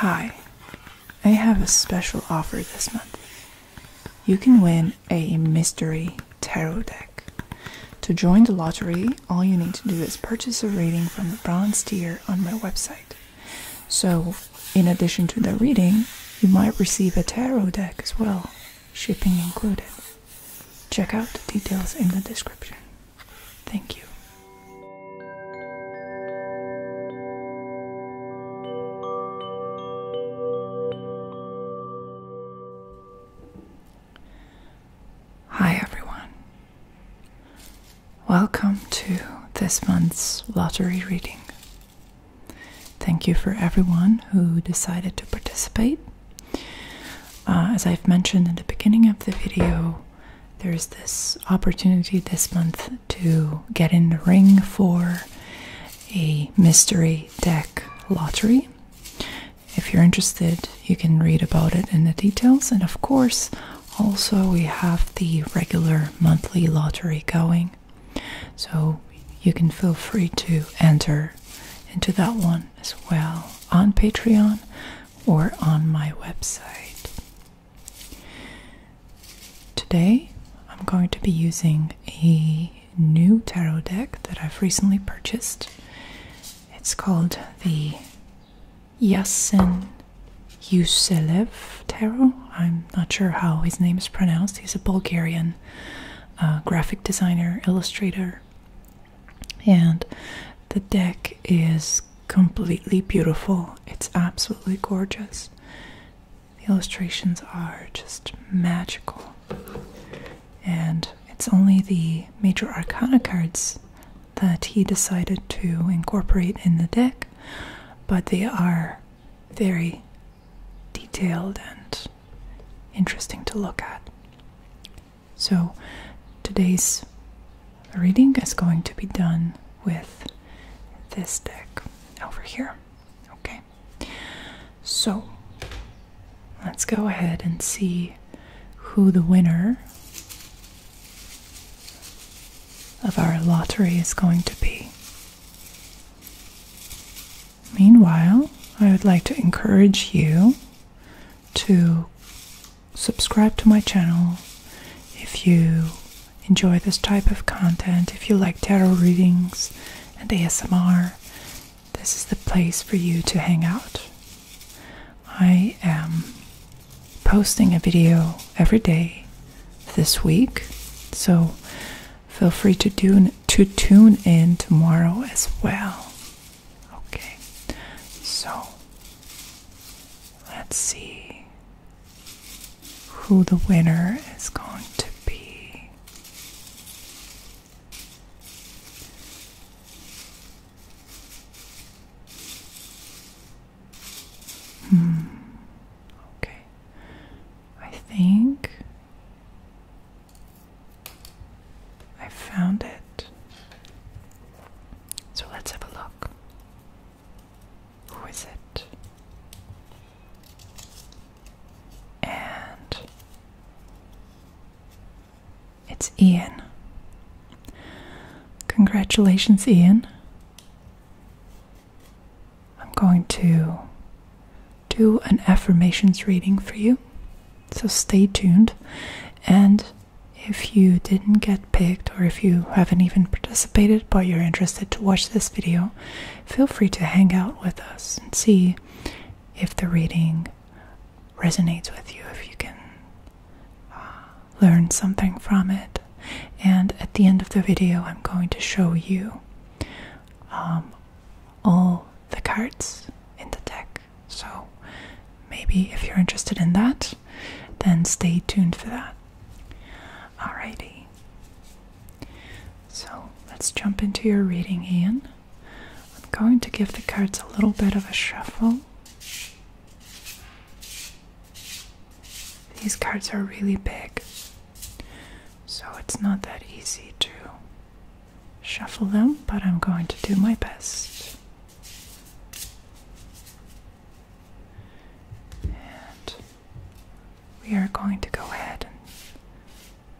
Hi, I have a special offer this month. You can win a mystery tarot deck. To join the lottery, all you need to do is purchase a reading from the bronze tier on my website. So, in addition to the reading, you might receive a tarot deck as well, shipping included. Check out the details in the description. Thank you. Hi, everyone. Welcome to this month's lottery reading. Thank you for everyone who decided to participate. Uh, as I've mentioned in the beginning of the video, there's this opportunity this month to get in the ring for a mystery deck lottery. If you're interested, you can read about it in the details. And of course, also we have the regular monthly lottery going. So you can feel free to enter into that one as well on Patreon or on my website. Today, I'm going to be using a new tarot deck that I've recently purchased. It's called the Yasin Yuselev Tarot. I'm not sure how his name is pronounced. He's a Bulgarian uh, graphic designer, illustrator, and the deck is completely beautiful. It's absolutely gorgeous. The illustrations are just magical. And it's only the major arcana cards that he decided to incorporate in the deck, but they are very detailed and interesting to look at. So today's the reading is going to be done with this deck over here. Okay, so let's go ahead and see who the winner of our lottery is going to be. Meanwhile, I would like to encourage you to subscribe to my channel if you enjoy this type of content, if you like tarot readings and ASMR. This is the place for you to hang out. I am posting a video every day this week, so feel free to do to tune in tomorrow as well. Okay. So Let's see who the winner is going to be. Hmm. Okay. I think I found it. So let's have a look. Who is it? And it's Ian. Congratulations, Ian. I'm going to do an affirmations reading for you, so stay tuned and if you didn't get picked or if you haven't even participated but you're interested to watch this video, feel free to hang out with us and see if the reading resonates with you, if you can uh, learn something from it. And at the end of the video, I'm going to show you um, all the cards in the deck. So maybe if you're interested in that, then stay tuned for that. Alrighty. So let's jump into your reading, Ian. I'm going to give the cards a little bit of a shuffle. These cards are really big, so it's not that easy to shuffle them, but I'm going to do my best we are going to go ahead and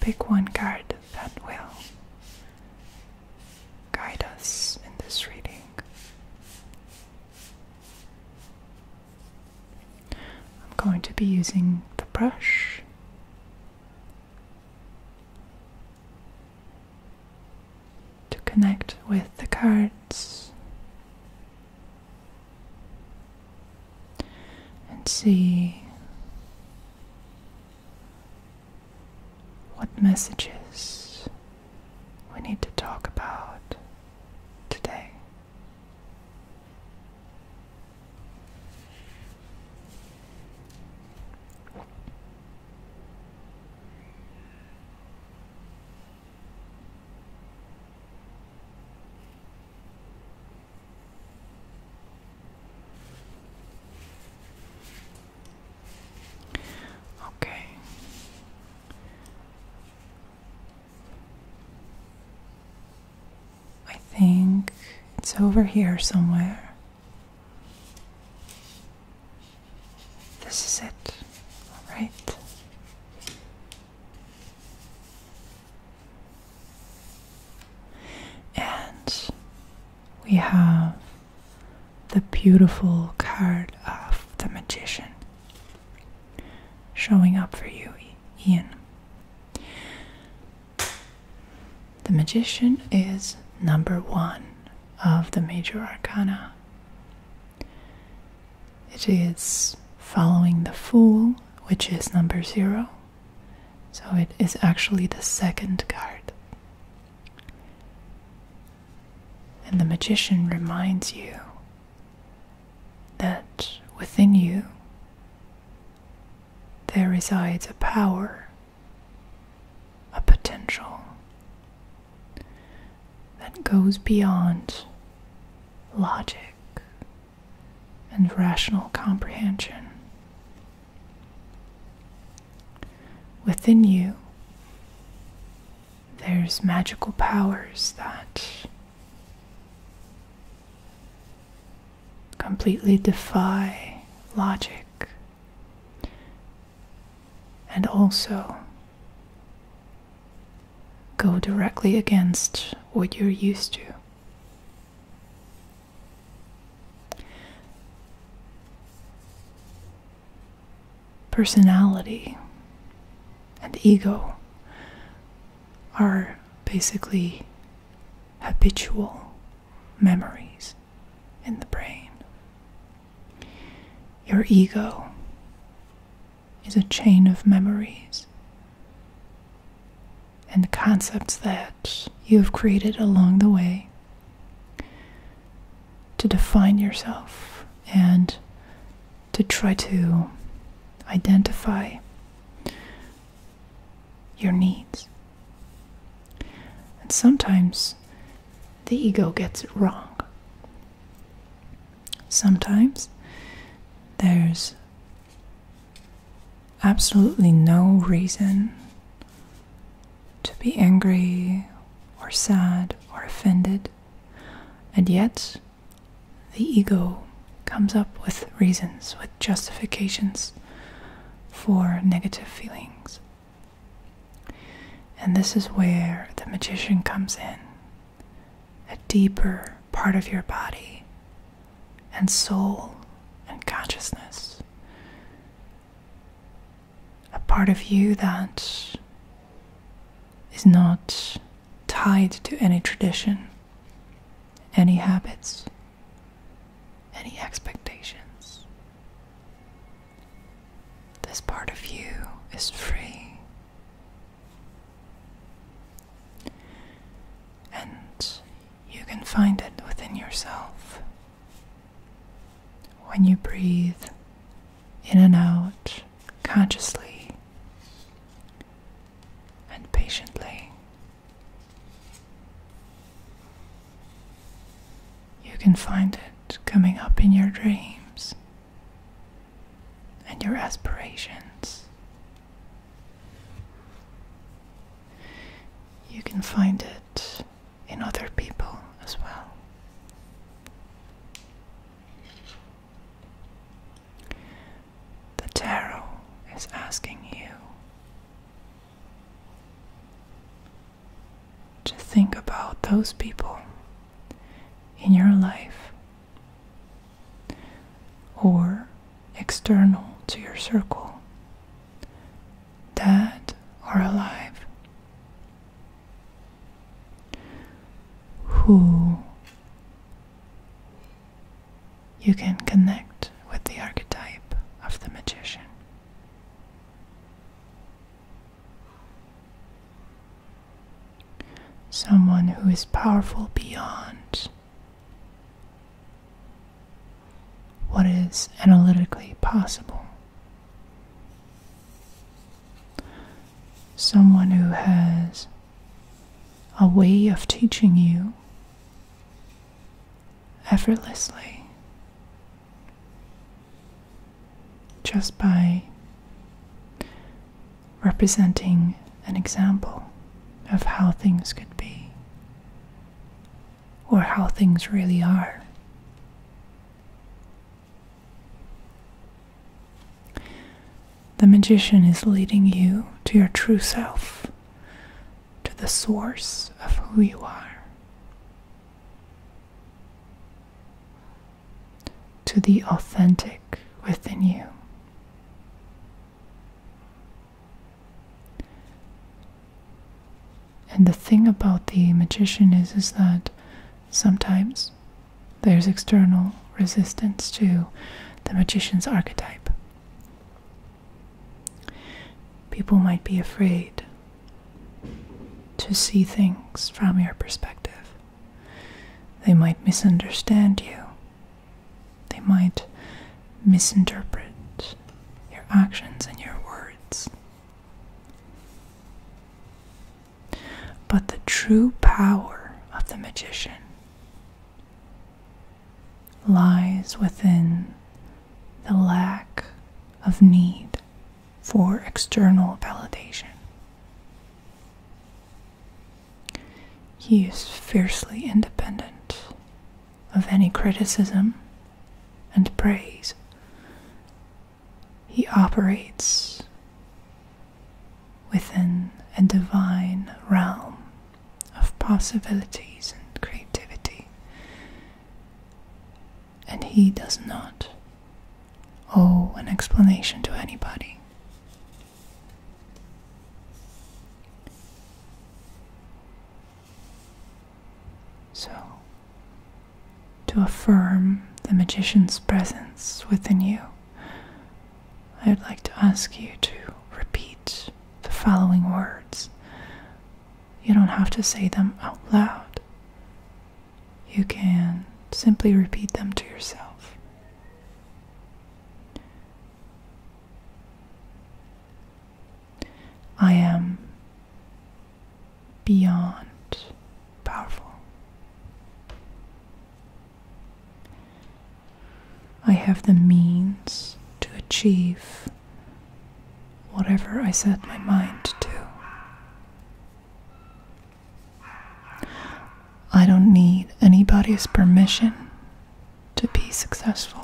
pick one card that will guide us in this reading. I'm going to be using the brush to connect with the cards and see what messages we need to talk about today. Okay. I think it's over here somewhere. This is it, all right? And we have the beautiful card of the magician showing up for you, Ian. The magician is number one of the major arcana. It is following the Fool, which is number zero. So it is actually the second card. And the Magician reminds you that within you there resides a power, a potential, that goes beyond logic and rational comprehension. Within you, there's magical powers that completely defy logic and also go directly against what you're used to. Personality and ego are basically habitual memories in the brain. Your ego is a chain of memories and concepts that you have created along the way to define yourself and to try to identify your needs. And sometimes the ego gets it wrong. Sometimes there's absolutely no reason to be angry or sad or offended, and yet the ego comes up with reasons, with justifications for negative feelings. And this is where the magician comes in a deeper part of your body and soul and consciousness. A part of you that is not tied to any tradition, any habits, any expectations. This part of you is free and you can find it within yourself. When you breathe in and out consciously and patiently, you can find it coming up in your dreams and your aspirations. You can find it in other people as well. The tarot is asking you to think about those people in your life or external to your circle, dead or alive. Who you can connect with the archetype of the magician. Someone who is powerful beyond what is analytically possible. Someone who has a way of teaching you effortlessly just by representing an example of how things could be or how things really are. The magician is leading you to your true self, to the source of who you are to the authentic within you. And the thing about the magician is, is that sometimes there's external resistance to the magician's archetype. People might be afraid to see things from your perspective. They might misunderstand you. They might misinterpret your actions and your words. But the true power of the magician lies within the lack of need for external validation. He is fiercely independent of any criticism and praise. He operates within a divine realm of possibilities and creativity, and he does not owe an explanation to anybody. So, to affirm the magician's presence within you, I would like to ask you to repeat the following words. You don't have to say them out loud, you can simply repeat them to yourself. I am beyond powerful. I have the means to achieve whatever I set my mind to. I don't need anybody's permission to be successful.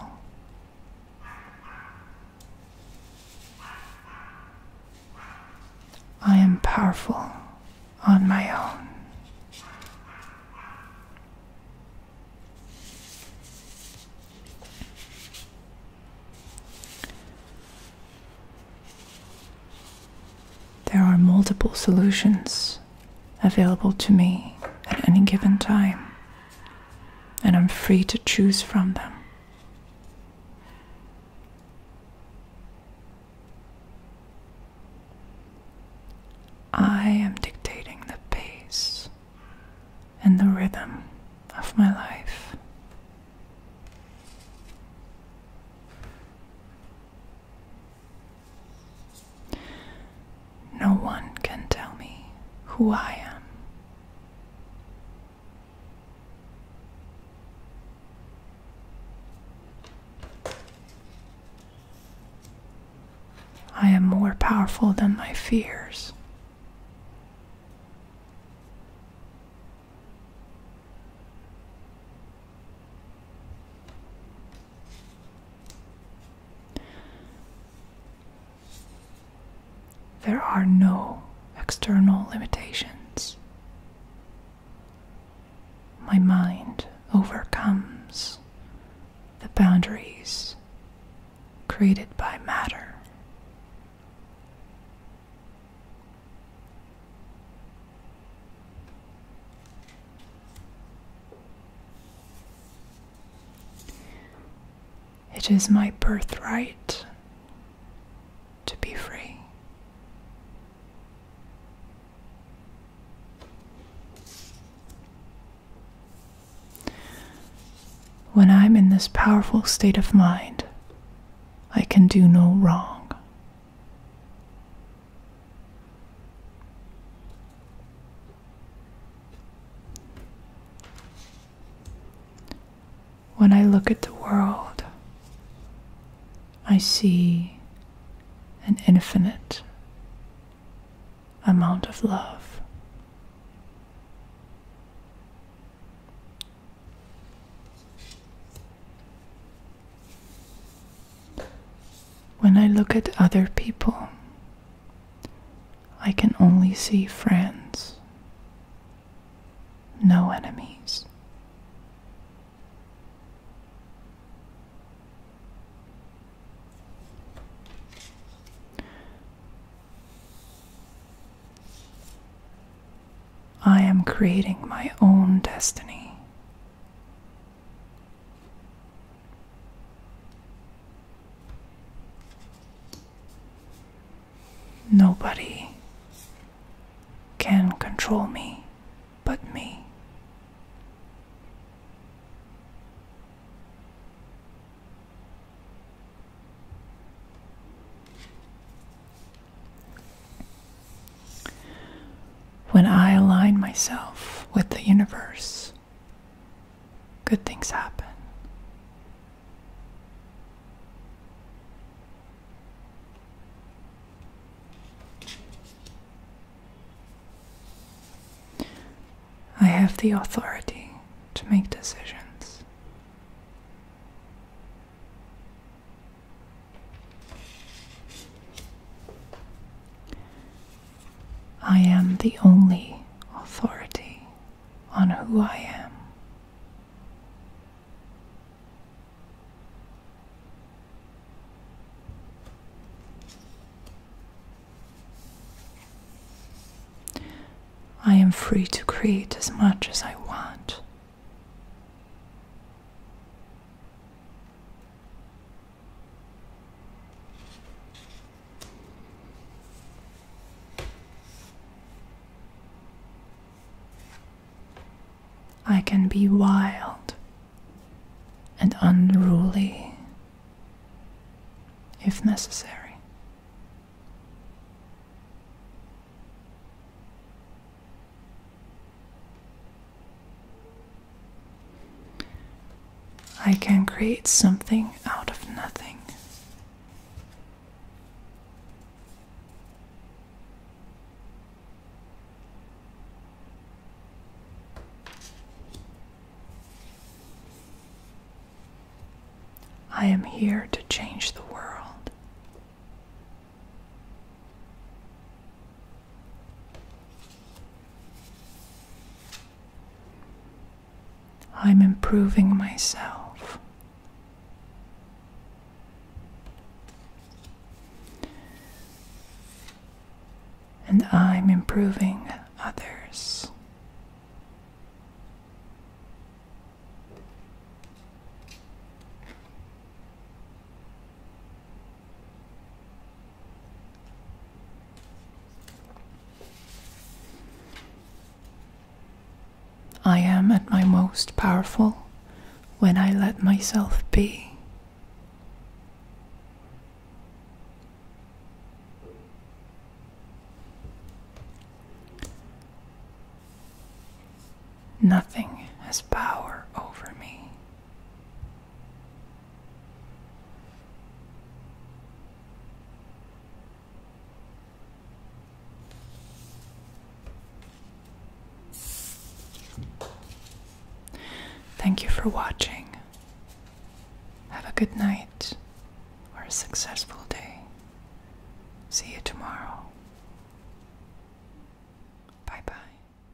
I am powerful on my own. There are multiple solutions available to me at any given time, and I'm free to choose from them. I am dictating the pace and the rhythm of my life. No one can tell me who I am. I am more powerful than my fears. There are no external limitations. My mind overcomes the boundaries created by matter. It is my birthright to be free. When I'm in this powerful state of mind, I can do no wrong. When I look at the world, I see an infinite amount of love. When I look at other people, I can only see friends, no enemies. I am creating my own destiny Nobody can control me but me. When I align myself with the universe, good things happen. I have the authority to make decisions. I am the only authority on who I am. I am free to create as much as I want. I can be wild and unruly if necessary. I can create something out of nothing. I am here to change the world. I'm improving myself. And I'm improving others. I am at my most powerful when I let myself be. Nothing has power over me. Thank you for watching. Have a good night or a successful day. See you tomorrow. Bye bye.